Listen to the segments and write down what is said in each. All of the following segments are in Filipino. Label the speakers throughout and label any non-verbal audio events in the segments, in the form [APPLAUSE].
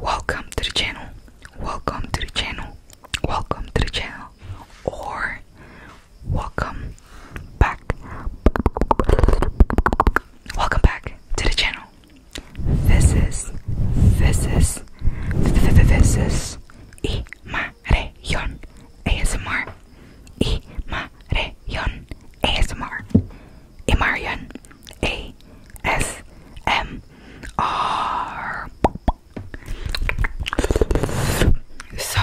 Speaker 1: Welcome to the channel. Welcome to the channel. Welcome to the channel. Or welcome back. Welcome back to the channel. This is this is this is Imarayon ASMR. Imarayon ASMR. Imarian A S M R So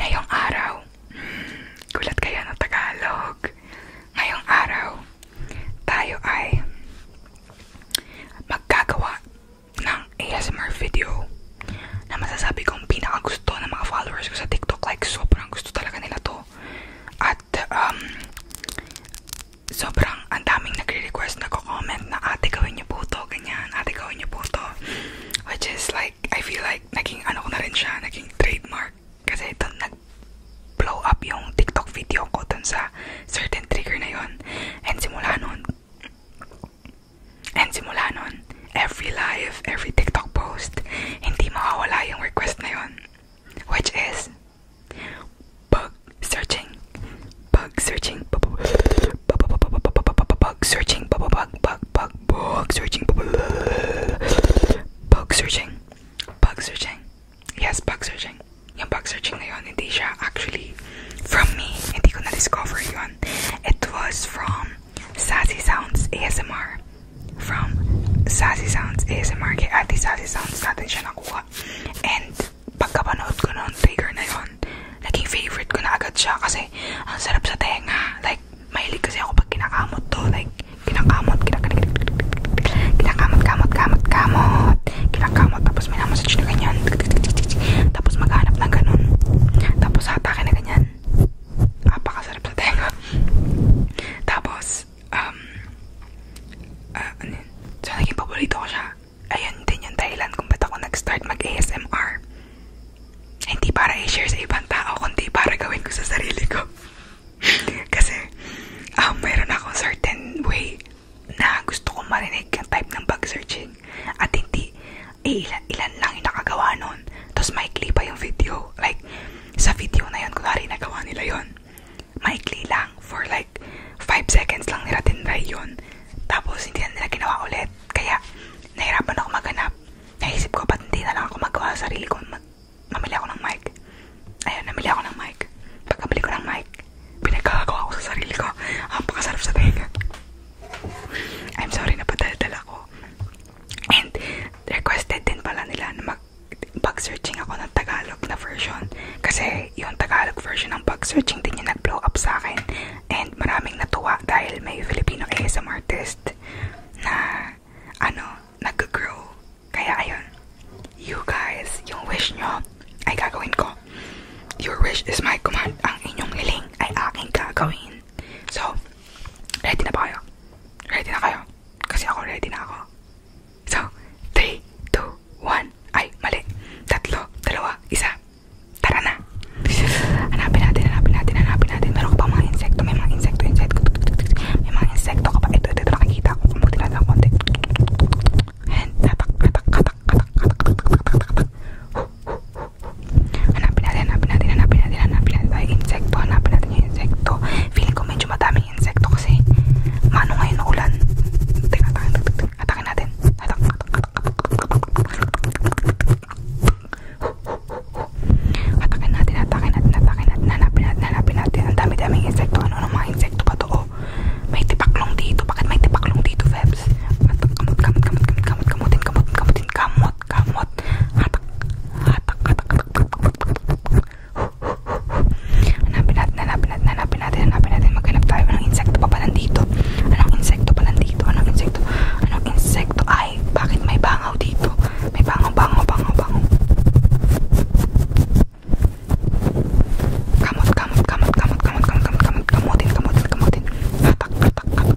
Speaker 1: Ngayong araw Gulat kayo ng Tagalog Ngayong araw Tayo ay Magkagawa ng ASMR video na masasabi kong pinakagusto ng mga followers ko sa TikTok like sobrang gusto talaga nila to ko. At um, sobrang ang daming nagre-request, nagko-comment na ate gawin niyo po to, ganyan, ate gawin niyo po to. Which is like, I feel like naging ano ko na rin siya, naging trademark. Kasi ito nag-blow up yung TikTok video ko dun sa certain trigger na yon And simula nun, and simula nun, every live, every TikTok post, hindi makawala yung request na Which is, bug searching. Bug searching. Bug searching. Bug searching. Bug, searching. Bug searching. Bug searching. Yes, bug searching. Yung bug searching na yun, hindi siya actually from me. Hindi ko na-discover yun. It was from Sassy Sounds ASMR from Sassy Sounds ASMR kay Ate Sassy Sounds natin siya nakuha and pagkapanood ko noon trigger na yun naging favorite ko na agad siya kasi ang sarap sa tenga like mahilig kasi ako pag kinakamot to like kinakamot kinakamot kinakamot kamot kamot kamot kinakamot tapos minamassage na ganyan tapos maghanap ng ganun tapos hatakin na ganyan napakasarap sa tenga. Tapos, um, uh, ano yun? So, naging paborito ko siya. Ayun din yung dahilan kung ba't ako nag-start mag-ASMR. Hindi para i-share sa ibang tao, kundi para gawin ko sa sarili ko. [LAUGHS] Kasi, um, mayroon akong certain way na gusto kong marinig yung type ng bug searching. At hindi, eh, ilan, ilan lang yung nakagawa nun. Tapos maikli pa yung video. Like, sa video na yun, kunwari nagawa nila yun. Maikli lang for like 5 seconds lang nila tinry yun. Tapos hindi na nila ginawa ulit. Kaya, nahirapan ako maghanap. Naisip ko, ba't hindi na lang ako magawa sa sarili ko? Mag namili ako ng mic. Ayun, namili ako ng mic. Pagkabili ko ng mic, pinagkakagawa ko sa sarili ko. Ang ah, pakasarap sa tenga. I'm sorry na padaldal ako. And requested din pala nila na mag bug searching ako ng Tagalog na version kasi yung Tagalog version ng bug searching din yung nag-blow up sa akin and maraming natuwa dahil may Filipino ASM artist na ano, nag-grow kaya ayun you guys, yung wish nyo ay gagawin ko your wish is my command ang inyong hiling ay aking gagawin so Ready na ba kayo? Ready na kayo? Kasi ako ready na ako. So, 3, 2, 1. Ay, mali. Tatlo, dalawa, isa. Tara na. Hanapin natin, hanapin natin, hanapin natin. Meron ka pa mga insekto. May mga insekto, insekto. May mga insekto ka pa. Ito, ito, ito. Nakikita ko. Kumutin natin ang konti. And, tatak, tatak, tatak, tatak, tatak, tatak, tatak, tatak, tatak. Huh, huh, huh. Hanapin natin, hanapin natin, hanapin natin, hanapin natin tayo insekto, hanapin natin yung insekto. Feeling ko medyo madaming insekto kasi maano ngayon na ulan. Tingnan natin, atakin natin. Atak, atak, Atakin natin, atakin natin, atakin natin, hanapin natin, hanapin natin. Ang dami-daming insekto. Ano ng mga insekto pa to? Oh, may tipaklong dito. Bakit may tipaklong dito, Febs? Kamot, kamot, kamot, kamot, kamot, kamotin, kamotin, kamotin, kamot kamot, kamot, hatak, hatak, hatak, hatak, Hanapin natin, hanapin natin, hanapin natin, hanapin natin. Maghanap tayo ng insekto pa pala dito. Anong insekto pala dito? Anong insekto? Anong insekto? Ay, bakit may bangaw dito? May bangaw, bangaw, bangaw, bangaw. Kamot, kamot, kamot, kamot, kamot, kamot, kamot, kamotin, kamotin, kamotin. Hatak, hatak, hatak,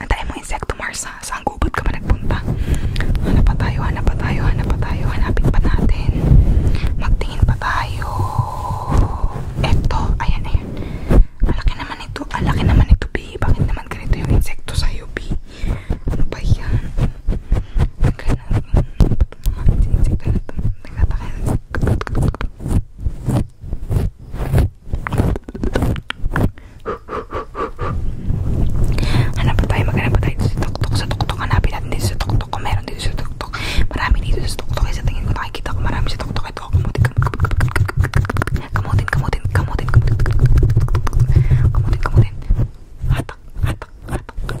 Speaker 1: Ang tayo mong insekto, Mars, ha? Saan gubot ka ba nagpunta? Hanap pa tayo, hanap pa tayo, hanap pa tayo. Hanapin pa natin. Magtingin pa tayo. Eto, ayan, ayan. Alaki naman ito. Alaki naman ito, B. Bakit naman ganito yung insekto sa'yo, B? Ano ba yan? Ganun. Ba't mga insekto na ito? Nagtatakay. Hanapin tayo, maghanap tayo dito sa tuktok, sa tuktok, hanapin natin dito sa tuktok kung meron dito sa tuktok. Marami dito sa tuktok, sa tingin ko nakikita ko marami sa tuktok. Ito, kamutin, kamutin, kamutin, kamutin, kamutin, kamutin, hatak, hatak, hatak.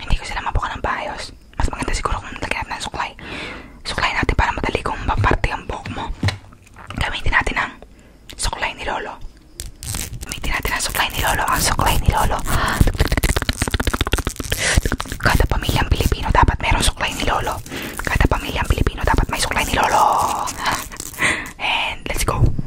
Speaker 1: Hindi ko sila mabuka ng paayos. Mas maganda siguro kung lagyan natin ng suklay. Suklay natin para madali kung maparte ang buhok mo. Gamitin natin ang suklay ni Lolo. Gamitin natin ang suklay ni Lolo. Ang suklay ni Lolo. Kada pamilyang Pilipino dapat merong suklay ni Lolo. Kada pamilyang Pilipino dapat may suklay ni Lolo. [LAUGHS] And let's go.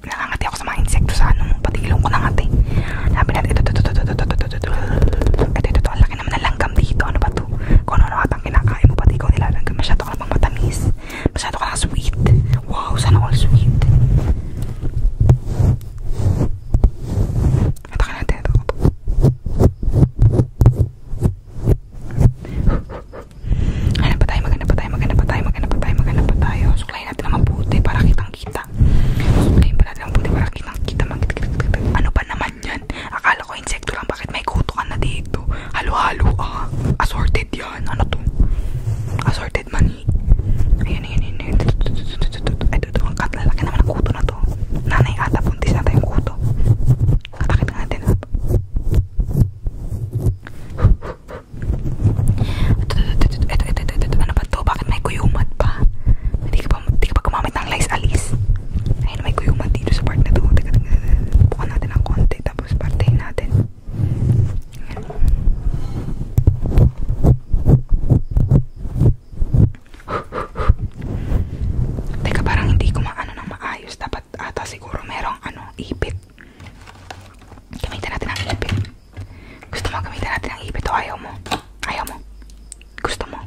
Speaker 1: Pinangangati ako sa mga insekto sa ano, pati ilong ko nangati. Sabi natin, ito, ito, ito, ito, ito, ito, ito, ito, ito, ito, ito, ang laki naman ng langgam dito. Ano ba ito? Kung ano atang kinakain mo, pati ikaw nilalanggam. Masyado ka namang matamis. Masyado ka na sweet. Wow, sana all sweet. Ito ka natin, ito, ito. Hanap pa tayo, maghanap pa tayo, maghanap pa tayo, maghanap pa tayo, maghanap pa tayo. Suklayin natin ang mabuti para kitang kita. Suklayin pa natin ang mabuti para kitang kita. Ano ba naman yan? Akala ko insekto lang, bakit may kutukan na dito? Halo-halo ah. Assorted yan. Ano to? Assorted money. Ayan, ayan, ayan. ayan. Ay, dito, ang kat. Lalaki naman ang kuto na to. Nanay ata, puntis na tayong kuto. Katakit natin. Huh, huh, ano ba to? Bakit may kuyumat pa? Hindi ka pa, hindi ka pa gumamit ng lice alis. Ayun, may kuyumat dito sa part na to. Teka, teka, bukan natin ng konti. Tapos partayin natin. Ayan. Teka, parang hindi kumaano ng maayos. Dapat ata siguro merong ano, ipit. Gamitin natin ang ipit. Gusto mo gamitin natin ang ipit o ayaw mo? Ayaw mo? Gusto mo?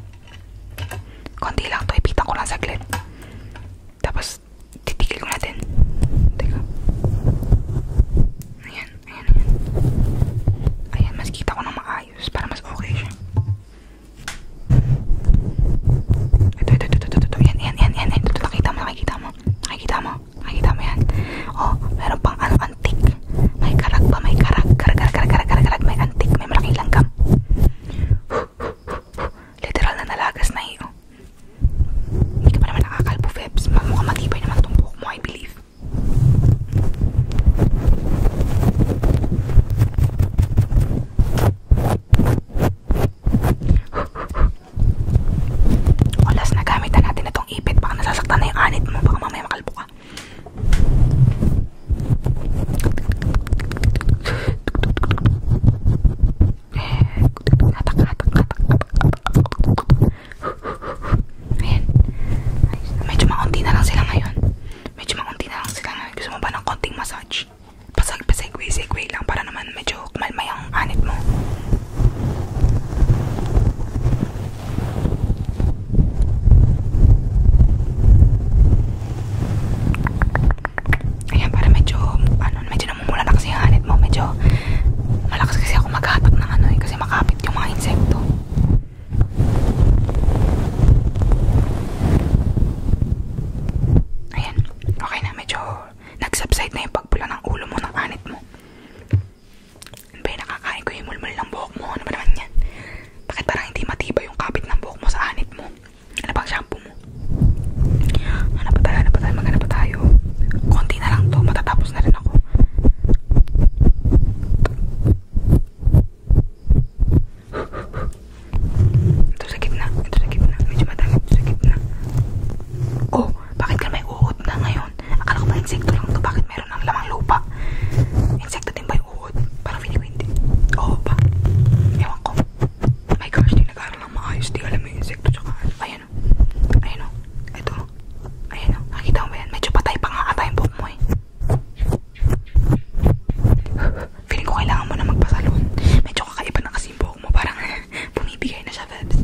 Speaker 1: Konti lang to. Ipitan ko lang saglit. Tapos, titikil ko natin. Teka. Ayan, ayan, ayan. Ayan, mas kita ko ng maayos para mas okay siya. Ito, ito, ito, ito, ito, ito. Ayan, ayan, ayan, ayan. Ito, nakita mo, nakikita mo nakikita mo nakikita mo yan oh meron pang ano antik may karag pa may karag karag karag karag karag karag, karag. may antik may malaking langgam literal na nalagas na iyo eh, oh. hindi ka pa naman nakakalbo Febs mukhang matibay naman itong buhok mo I believe Olas na gamitan natin itong ipit. Baka nasasaktan na yung anit mo. Baka mamaya makalbo ka. Hatak, hatak, hatak, hatak. Ayan. Medyo makunti na lang sila ngayon. Medyo makunti na lang sila ngayon. Gusto mo ba ng konting massage? Pasag-pasagwi-sigwi lang para naman medyo kumalmay ang anit mo. Ayan, para medyo, ano, medyo namumula na kasi ang anit mo. Medyo malakas kasi ako maghatak ng ano eh, kasi makapit yung mga insekto. Ayan. Okay na, medyo nagsubside na yung pagpula ng ulo mo, ng anit mo. Ano ba yung nakakain ko yung mulmul ng buhok mo? Ano ba naman yan? Bakit parang hindi matibay yung kapit ng buhok mo sa anit mo? Ano ba ang shampoo mo? Ano pa tayo, ano pa tayo, magana pa tayo? Konti na lang to, matatapos na rin ako. Ito sa gitna, ito sa gitna. Medyo madami ito sa gitna. Oh, bakit ka may uod na ngayon? Akala ko ba insekto lang to? Bakit meron ng lamang lupa? Insekto din ba yung uod? Parang finiwindi. Oo ba? Ewan ko. My gosh, di nag-aaral lang maayos. Di alam yung insekto tsaka. Ano. Ayan o. Ayan o. Ito. Ayan o. Nakikita mo ba yan? Medyo patay pa nga ata yung buhok mo eh. Feeling ko kailangan mo na magpasalon. Medyo kakaiba na kasi buhok mo. Parang [LAUGHS] bumibigay na siya, Bebs.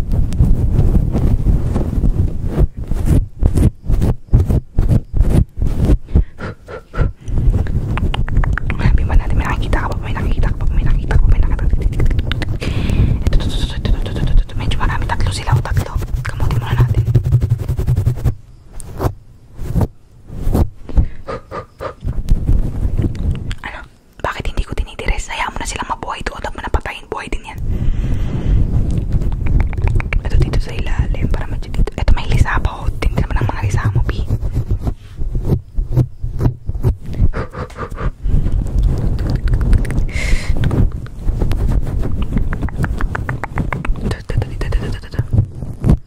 Speaker 1: Hanapin ba natin? May nakikita ka ba? May nakikita ka ba? May nakikita ka ba? May nakikita ka ba? Ito, ito, ito, ito, ito, ito, ito. Medyo marami. Tatlo sila o oh, tatlo. Kamutin muna natin. Ano? Bakit hindi ko tinitiris? Hayaan mo na silang mabuhay doon at mo napatayin. Buhay din yan. Ito dito sa ilalim para medyo dito. Ito may lisa pa. Oh. Tintin naman ang mga lisa mo, P. Dito, dito, dito, dito, dito, dito.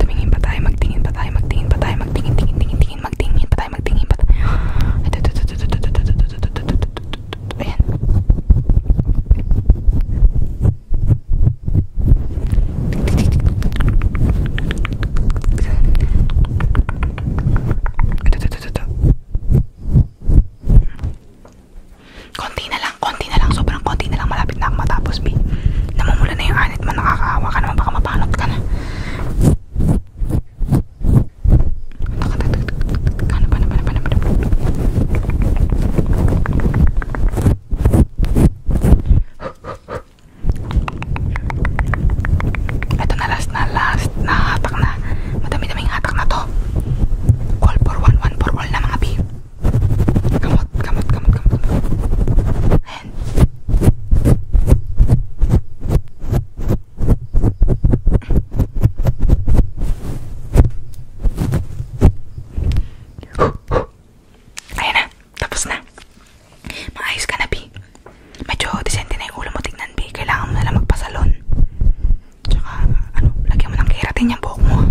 Speaker 1: Tumingin pa tayo, magtingin pa tayo, magtingin pa tayo, magtingin, tingin, tingin, tingin, magtingin pa tayo, magtingin pa tayo. Ayan. Konti na lang, konti na lang, sobrang konti na lang, malapit na akong matapos B namumula na yung anit mo nakakaawa ka naman baka mapanot ka na ito na last na last na hatak na madami-daming hatak na to call for one one for all na mga B Gamot, gamot, gamot, gamot, gamot. Ayan. Ayan na, tapos na. Maayos ka na, Bi. Medyo disente na yung ulo mo tignan, Bi. Kailangan mo nalang magpasalon. Tsaka, ano, lagyan mo ng keratin yung buhok mo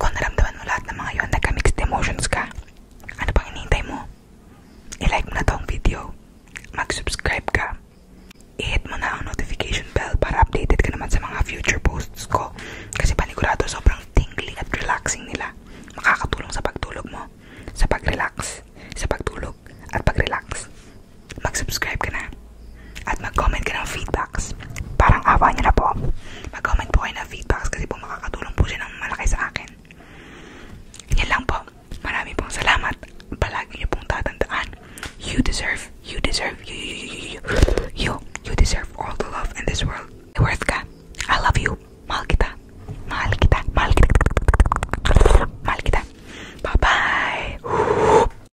Speaker 1: Kung naramdaman mo lahat ng mga yun, nagka-mixed emotions ka, ano pang hinihintay mo? I-like mo na tong video, mag-subscribe ka, i-hit mo na ang notification bell para updated ka naman sa mga future posts ko kasi panigurado sobrang tingling at relaxing nila. Makakatulong sa pagtulog mo, sa pag-relax, sa pagtulog at pag-relax. Mag-subscribe ka na at mag-comment ka ng feedbacks. Parang awa niyo na po. mag-comment po kayo ng feedbacks kasi po makakatulong po siya ng malaki akin. Yan lang po. pong salamat. Palagi niyo pong tatandaan. You deserve, you deserve, you, you, you, you, you, you, you deserve all the love in this world. Worth ka. I love you. Mahal kita. Mahal kita. Mahal kita. Mahal kita. Bye-bye.